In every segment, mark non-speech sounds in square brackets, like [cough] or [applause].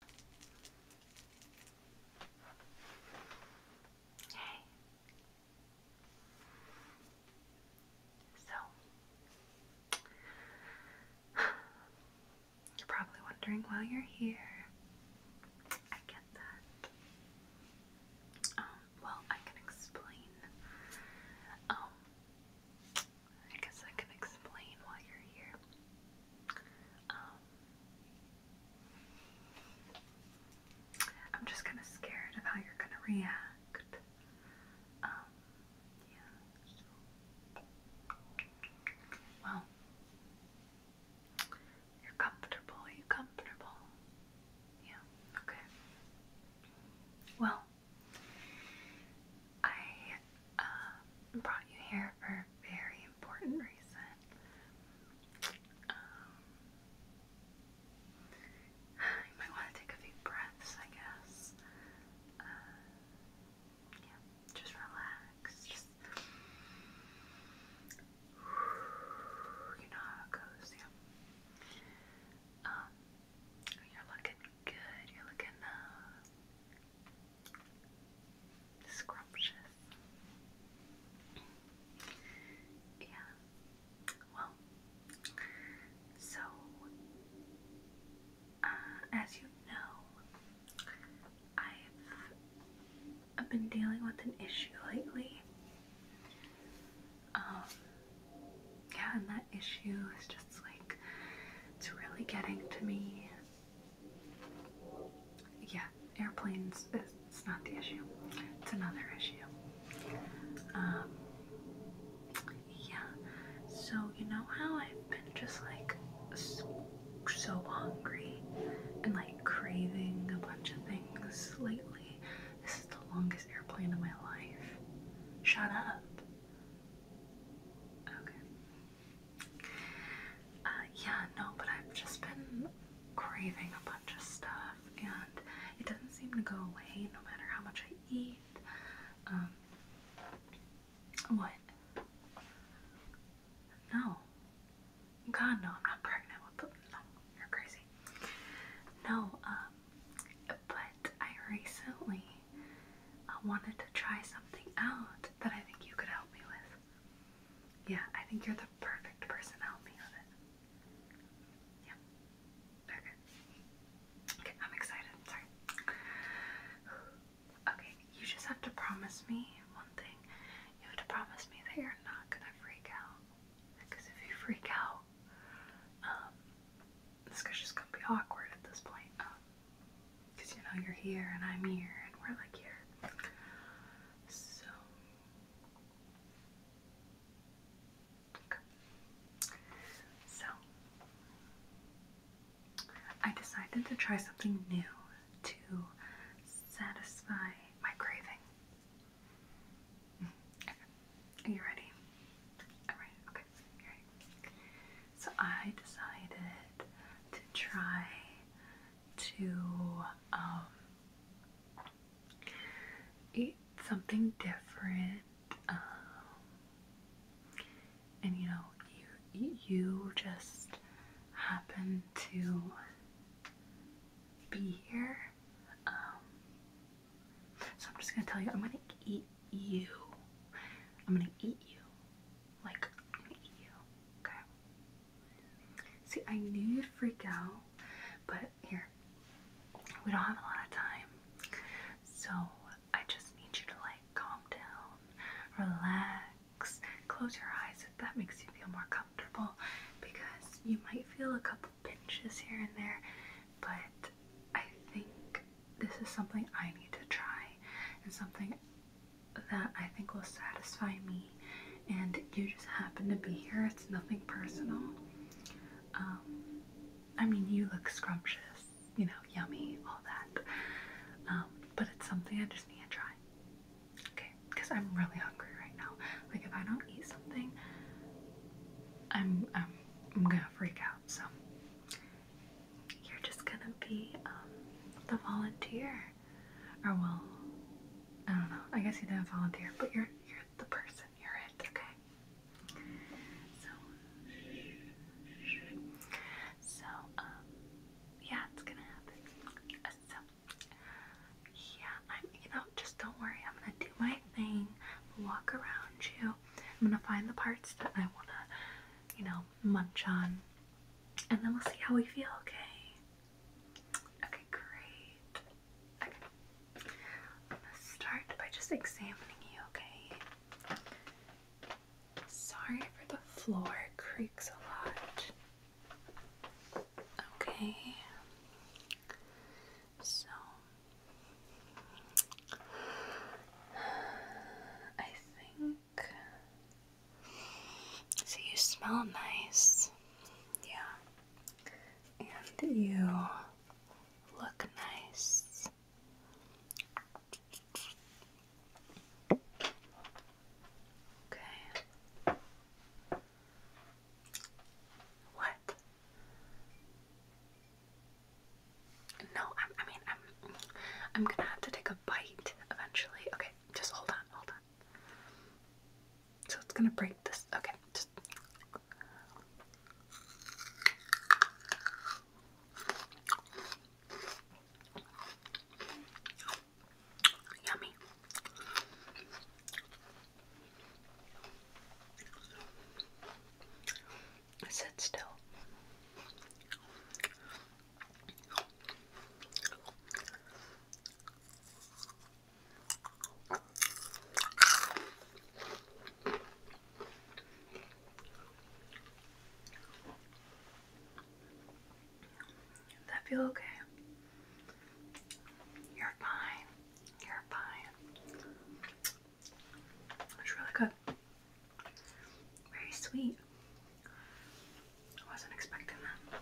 So, [sighs] you're probably wondering why you're here. I get that. Um, well, I can explain. Um, I guess I can explain why you're here. Um, I'm just kind of scared of how you're going to react. Um, well, you're comfortable. you comfortable? Yeah. Okay. Well, I uh, brought you here for a very important reason. Um, you might want to take a few breaths, I guess. Uh, yeah, just relax. Just you know how it goes, yeah. Um, you're looking good. You're looking uh, Scrumptious. Yeah. Well, so uh, as you know, I've been dealing with an issue lately. Um, yeah, and that issue is just just like it's really getting to me. Yeah, airplanes it's not the issue. It's another issue. Um yeah. So you know how I've been just like so, so hungry and like craving a bunch of things lately. This is the longest airplane of my life. Shut up. Okay. Uh, yeah, no, but I've just been craving a bunch of stuff, and it doesn't seem to go away no matter how much I eat. Um, what? No. God, no, I'm not pregnant with them. No, you're crazy. No, um, but I recently uh, wanted to try something out that I think you could help me with. Yeah, I think you're the perfect person to help me with it. Yeah. Okay. Okay, I'm excited. Sorry. Okay, you just have to promise me one thing. You have to promise me that you're not gonna freak out. Because if you freak out, um, this is just gonna be awkward at this point. Because, um, you know, you're here and I'm here and we're like here. So. Okay. So. I decided to try something new to satisfy my craving. Mm-hmm. Are you ready? Alright, okay. So I decided to try to um, eat something different. Um, and you know, you you just happen to be here. Um, so I'm just gonna tell you, I'm gonna eat you. I'm gonna eat you. Like, eat you. Okay. See, I knew you'd freak out, but here, we don't have a lot of time. So I just need you to like calm down, relax, close your eyes if that makes you feel more comfortable because you might feel a couple pinches here and there, but I think this is something I need to try and something that I think will satisfy me. And you just happen to be here, it's nothing personal. Um, I mean, you look scrumptious, you know, yummy, all that. Um, but it's something I just need to try. Okay, because I'm really hungry right now. Like if I don't eat something, I'm I'm I'm gonna freak out. So you're just gonna be um, the volunteer, or will I don't know. I guess you didn't volunteer, but you're you're the person. You're it. Okay. So so um yeah, it's gonna happen. So yeah, I'm you know just don't worry. I'm gonna do my thing. walk around you. I'm gonna find the parts that I wanna, you know, munch on, and then we'll see how we feel. Okay. Okay, great. Okay. I'm gonna start by just examining you. Okay. Sorry for the floor it creaks a lot. Okay. So [sighs] I think. So you smell nice. Yeah. And you look nice. Okay. What? No, i mean, I'm, I'm gonna have to take a bite eventually. Okay, just hold on, hold on. So it's gonna break this. Okay, just. Yummy. Sit still. that feel okay? You're fine. You're fine. It's really good. Very sweet. I wasn't expecting that.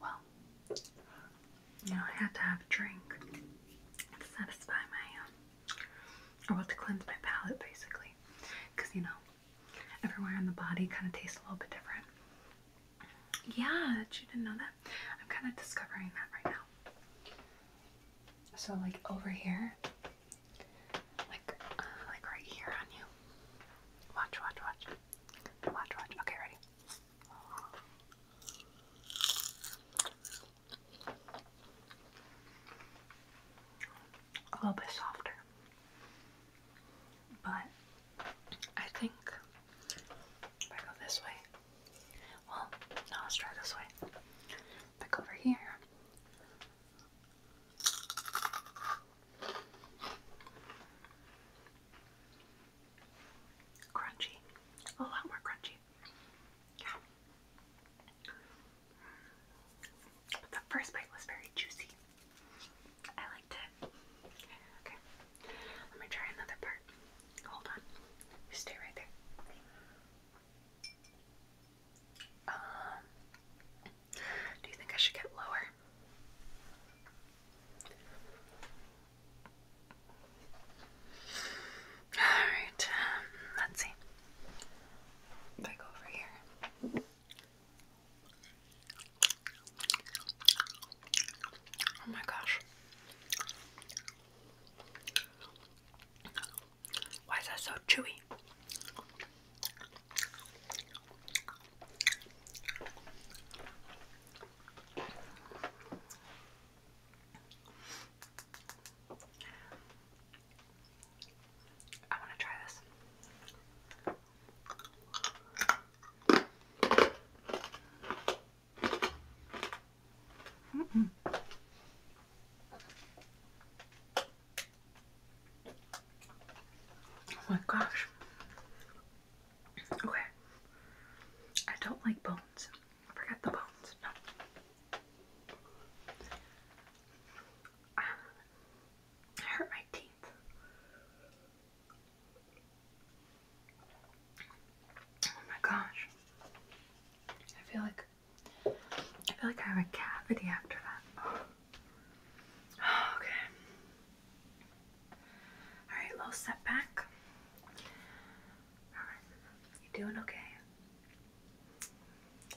Well, you know, I had to have a drink to satisfy my, um, or well, to cleanse my palate basically. Because, you know, everywhere on the body kind of tastes a little bit different. Yeah, that you didn't know that. I'm kind of discovering that right now. So, like over here, like, uh, like right here on you. Watch, watch, watch. Watch, watch. Okay, ready? a little bit softer. But I think if I go this way, well, no, let's try this way. If over here, crunchy, a lot more crunchy. Yeah. But the first bite was very juicy. I liked it. Okay. Let me try another part. Hold on. You stay right there. Um do you think I should get lower? Alright, um, let's see. If I go over here. Oh my gosh. Why is that so chewy? I want to try this. Oh my gosh. Okay. I don't like bones. Forget the bones. No. I hurt my teeth. Oh my gosh. I feel like I feel like I have a cavity after that. [sighs] okay. Alright, little setback. Alright, you doing okay?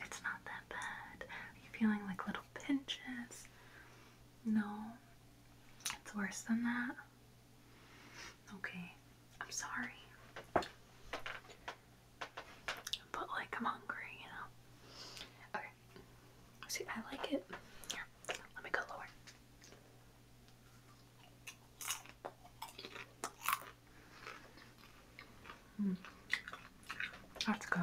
It's not that bad. Are you feeling like little pinches? No, it's worse than that. Okay, I'm sorry. But like, I'm hungry, you know? Okay, see, I like it. let me go lower. Mm. I go.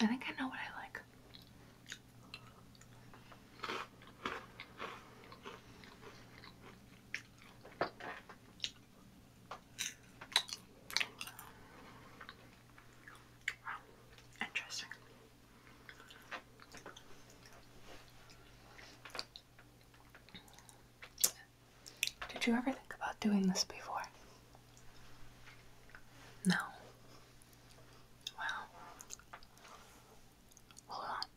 I think I know what I like interesting. Did you ever think about doing this before? No. Wow. Hold on.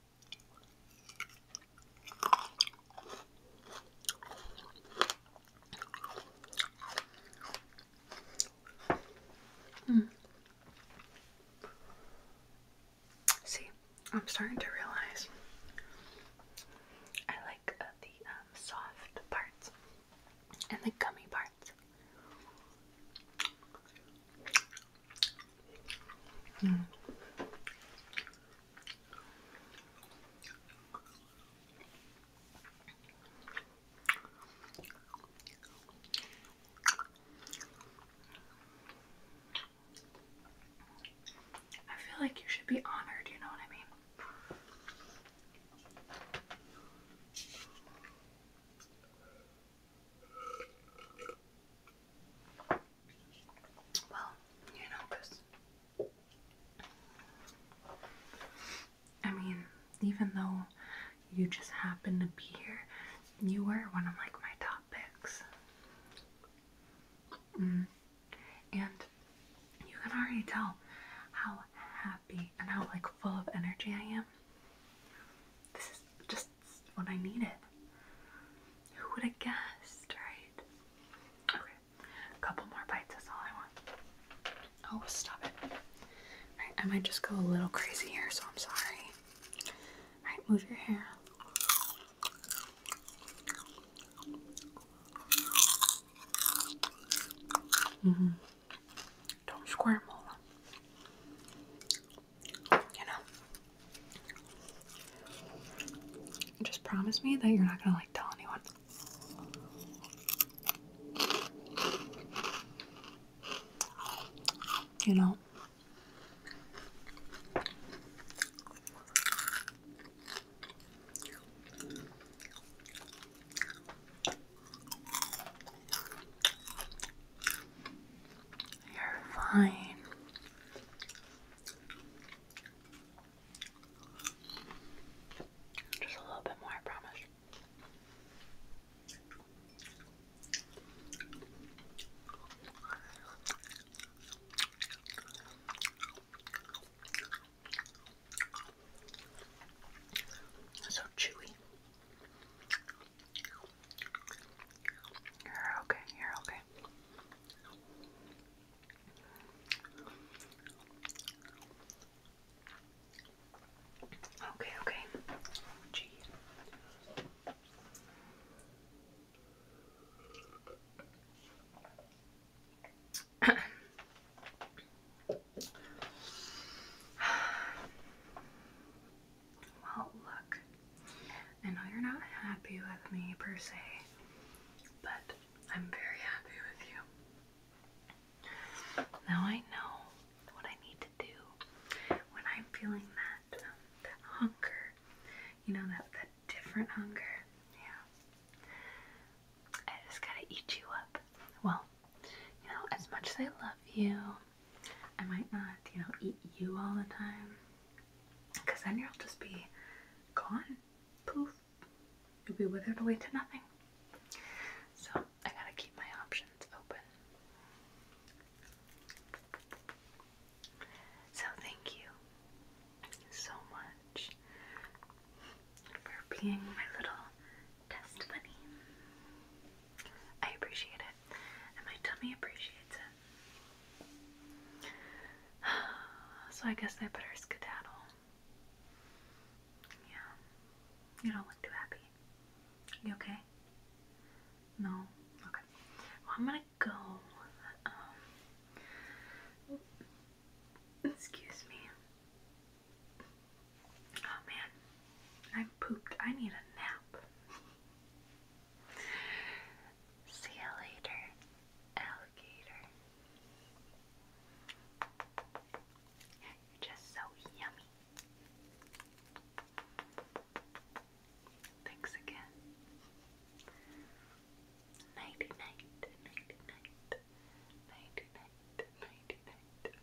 Mm. See, I'm starting to realize I like uh, the um, soft parts and the gummy parts. Mm. I feel like you should be honored, you know what I mean? Well, you know, because I mean, even though you just happened to be here, you were one of like my top picks. Mm. And you can already tell how happy and how like full of energy I am. This is just what I needed. Who would have guessed, right? A couple more bites is all I want. Oh, stop it. Right, I might just go a little crazy here, so I'm sorry. Right, move your hair. Mm -hmm. Don't squirm, Mola. You know. Just promise me that you're not gonna like tell anyone. You know, you're fine. Just a little bit more, I promise. So chewy. You're okay, you're okay. Okay, okay. [coughs] well, look. I know you're not happy with me per se, but I'm very happy with you. Now I know what I need to do when I'm feeling um, that hunger. You know that that different hunger. Yeah. I just gotta eat you up. Well, you know, as much as I love you, I might not, you know, eat you all the time. Because then you'll just be gone. Poof. You'll be withered away to nothing. So I gotta keep my options open. So thank you so much for being my little test bunny. I appreciate it. And my tummy appreciates it. [sighs] So I guess I better skedaddle. Yeah. You don't look too happy. You okay? No? Okay. I'm gonna go. Um, excuse me. Oh man. I'm pooped. I need a nap. [laughs] See you later, alligator. You're just so yummy. Thanks again. Nighty night, nighty night, nighty night, nighty night.